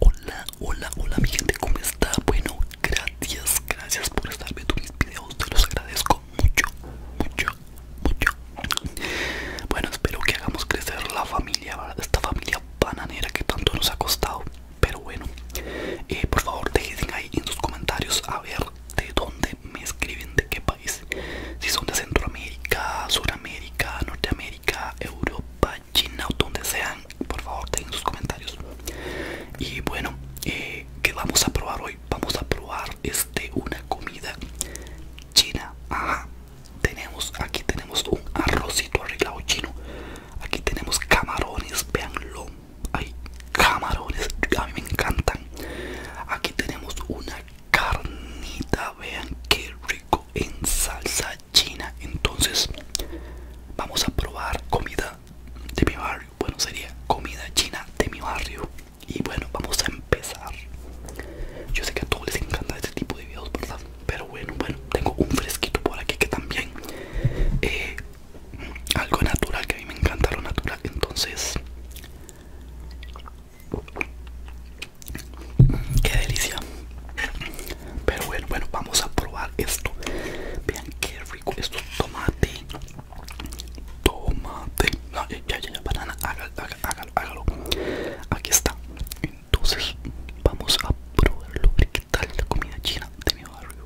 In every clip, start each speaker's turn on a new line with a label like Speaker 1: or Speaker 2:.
Speaker 1: Hola, hola, hola mi gente, ¿cómo está? Bueno, gracias, gracias por estar viendo mis videos, te los agradezco mucho, mucho, mucho Bueno, espero que hagamos crecer la familia, esta familia bananera que tanto nos ha costado Pero bueno, eh, por favor dejen ahí en sus comentarios a ver de dónde me escriben, de qué país Si son de Centroamérica, Suramérica, Norteamérica, Europa China o donde sean, por favor dejen sus comentarios. Y bueno, eh, ¿qué vamos a probar hoy? Vamos a probar este una comida china. Ajá. Tenemos, aquí tenemos un arrocito arreglado chino. Aquí tenemos camarones, veanlo. Hay camarones, a mí me encantan. Aquí tenemos una carnita, vean qué rico en salsa china entonces vamos a probar comida de mi barrio bueno sería comida china de mi barrio y bueno vamos a empezar yo sé que a todos les encanta este tipo de videos verdad pero bueno bueno tengo un fresquito por aquí que también eh, algo natural que a mí me encanta lo natural entonces Qué delicia. Pero bueno, bueno, vamos a probar esto. Vean qué rico esto. Tomate. Tomate. No, ah, ya, ya, ya, banana. Hágalo, hágalo, hágalo. Aquí está. Entonces, vamos a probarlo. A ver qué tal la comida china de mi barrio.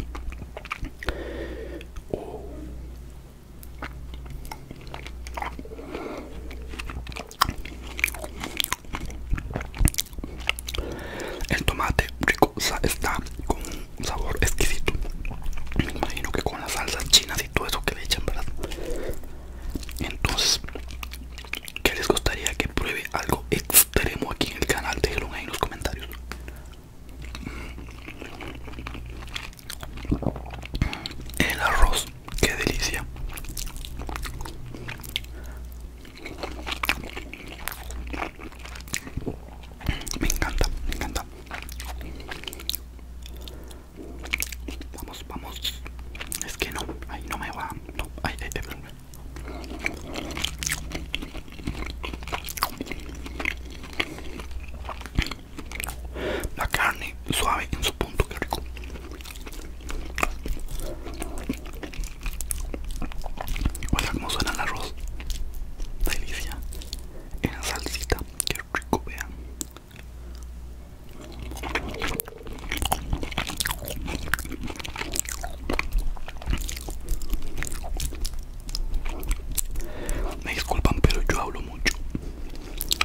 Speaker 1: Oh. El tomate rico está con un sabor exquisito. Me imagino que con las salsas chinas y todo eso que le echan, ¿verdad? Entonces, ¿qué les gustaría que pruebe algo extremo aquí en el canal? Déjenlo ahí en los comentarios. El arroz qué delicia me encanta me encanta vamos vamos es que no ahí no me va no ay, ahí, ay, la carne suave en su punto, que rico. Oiga como suena el arroz. Delicia. En la salsita, que rico, vean. Me disculpan, pero yo hablo mucho.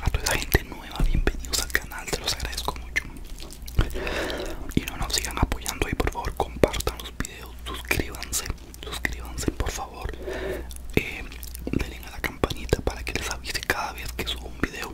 Speaker 1: A toda esa gente bienvenidos al canal, te los agradezco mucho. Y no nos sigan apoyando y por favor compartan los videos, suscríbanse, suscríbanse por favor. Eh, denle a la campanita para que les avise cada vez que subo un video.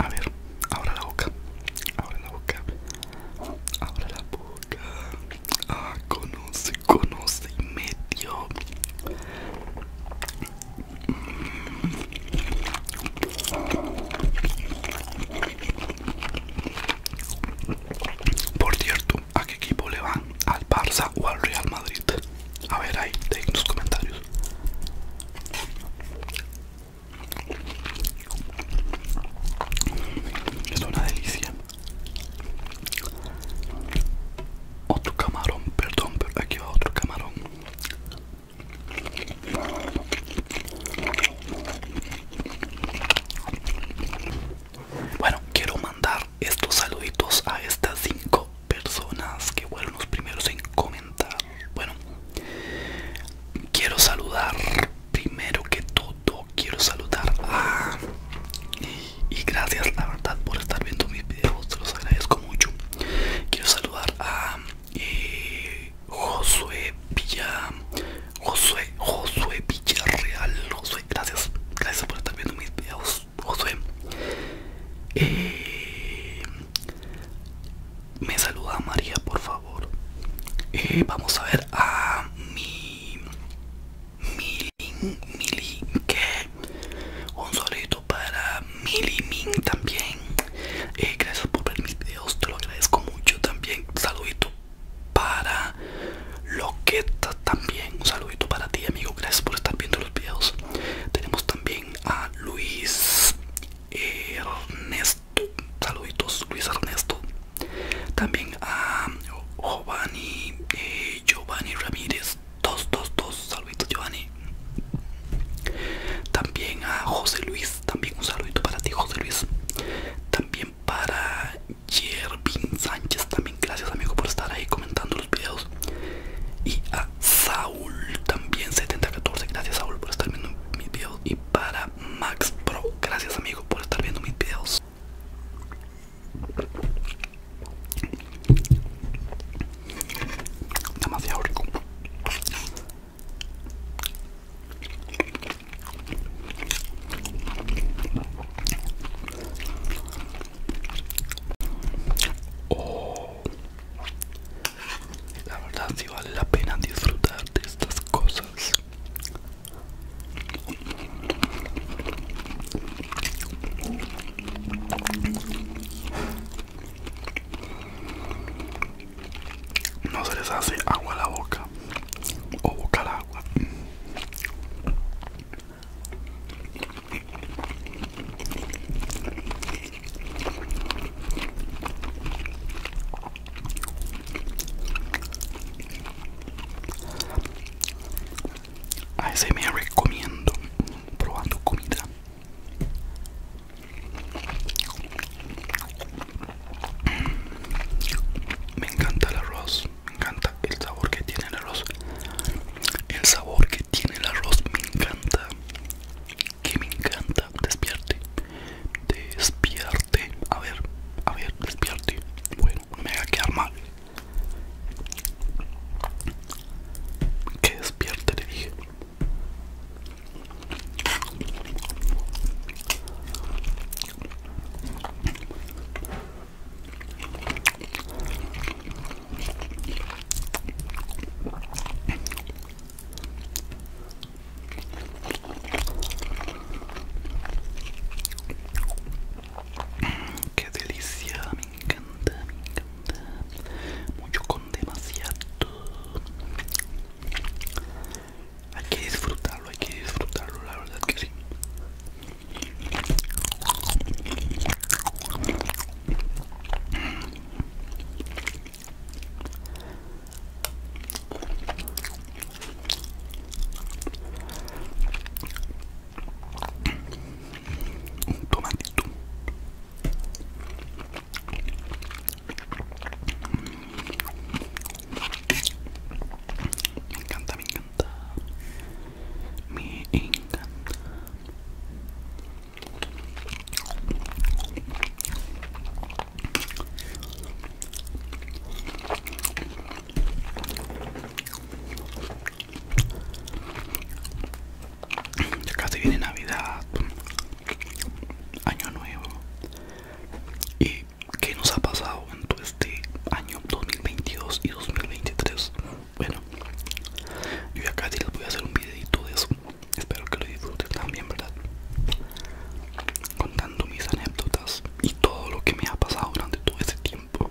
Speaker 1: A ver, ahora la boca. Abre la boca. Abre la boca. Ah, conoce, conoce y medio. Por cierto, ¿a qué equipo le van? ¿Al Barça o al Real Madrid? A ver ahí, en los comentarios. Es una delicia. Otro camarón, perdón, pero aquí va otro camarón. Bueno, quiero mandar estos saluditos a estas cinco personas que fueron los primeros en comentar. Bueno, quiero saludar primero que todo, quiero saludar a... Y, gracias la verdad por estar viendo mis videos, te los agradezco mucho. Quiero saludar a eh, Josué Villa, Josué, Josué Villarreal, Josué, gracias, gracias por estar viendo mis videos. Eh, me saluda María, por favor. Eh, vamos a ver a mi... Milin, que un solito para Milimin también. Eh, gracias por ver mis videos, te lo agradezco mucho también. Saludito para Loqueta también. Un para ti amigo, gracias por estar viendo los videos. Tenemos también a Luis Ernesto, saluditos Luis Ernesto. También a Giovanni, eh, Giovanni Ramírez, 222, saluditos Giovanni. También a José Luis, también un saludito para ti José Luis. También para yervin Sánchez, gracias amigo por estar ahí comentando los videos. Y a Saúl también 7014, gracias Saul, por estar viendo mis videos. Y para Max Pro, gracias amigo por estar viendo mis videos. Demasiado rico. Oh. la verdad si vale la pena disfrutar de estas cosas. No se les hace agua a la boca o boca al agua. A ese me recomiendo probando comida. Me encanta el arroz me encanta el sabor que tiene el arroz el sabor que tiene el arroz me encanta que me encanta despierte despierte a ver a ver despierte bueno me va a quedar mal que despierte le dije Qué delicia, me encanta, me encanta. Mucho con demasiado hay que disfrutarlo, hay que disfrutarlo, la verdad que sí. Un tomatito. Me encanta, me encanta. Me encanta. Ya casi viene Navidad, Año Nuevo, y qué nos ha pasado en todo este año 2022 y 2023. Bueno, yo acá les voy a hacer un videito de eso. Espero que lo disfruten también, ¿verdad? Contando mis anécdotas y todo lo que me ha pasado durante todo ese tiempo.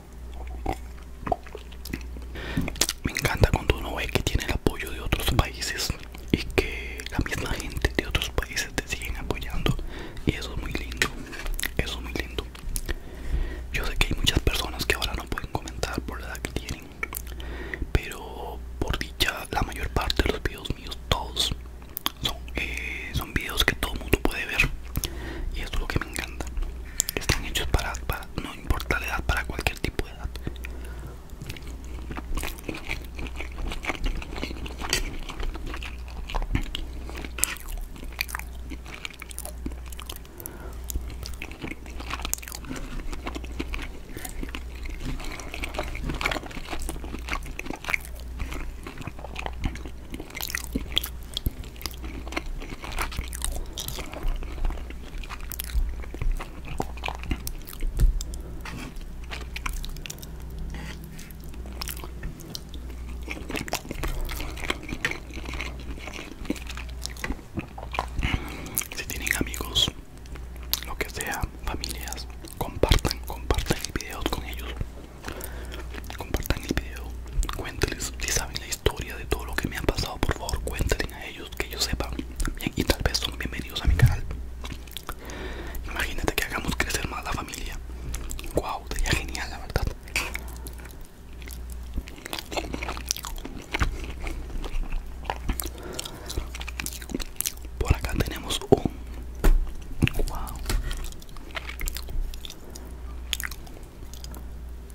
Speaker 1: Me encanta cuando uno ve que tiene el apoyo de otros países y que la misma gente de otros países te siguen apoyando y eso es muy lindo, eso es muy lindo. Yo sé que hay muchas personas que ahora no pueden comentar por la edad que tienen, pero por dicha la mayor parte de los videos míos, todos, son, eh, son videos que todo mundo puede ver y esto es lo que me encanta. Están hechos para, para no, no importa la edad para cualquier tipo de edad si tienen amigos, lo que sea, familias, compartan, compartan el video con ellos. Compartan el video, cuéntales si saben la historia historia de todo lo que me han pasado, por favor cuéntenle a ellos que yo sepan bien y tal vez son bienvenidos a mi canal. Imagínate que hagamos crecer más la familia. Wow, sería genial la verdad. Por acá tenemos un wow.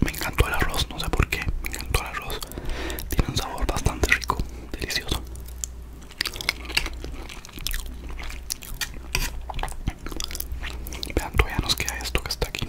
Speaker 1: Me encantó el arroz, no sé por qué. Me encantó el arroz. Tiene un sabor bastante rico, delicioso. Vean, todavía nos queda esto que está aquí.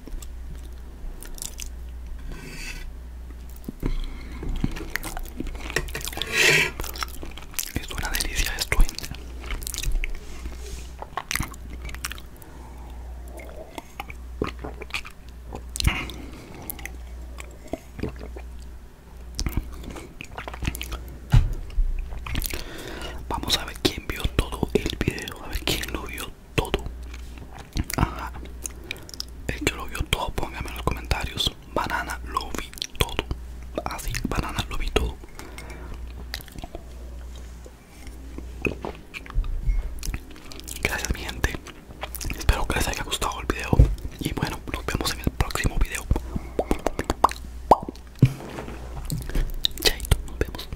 Speaker 1: Es una delicia esto. Vamos a ver quién vio todo el video, a ver quién lo vio todo. Ajá. El que lo vio todo, Pónganme en los comentarios. Banana lo vi todo. Así, ah, banana lo vi todo. Gracias mi gente. Espero que les haya gustado el video. Y bueno, nos vemos en el próximo video. Chaito, nos vemos.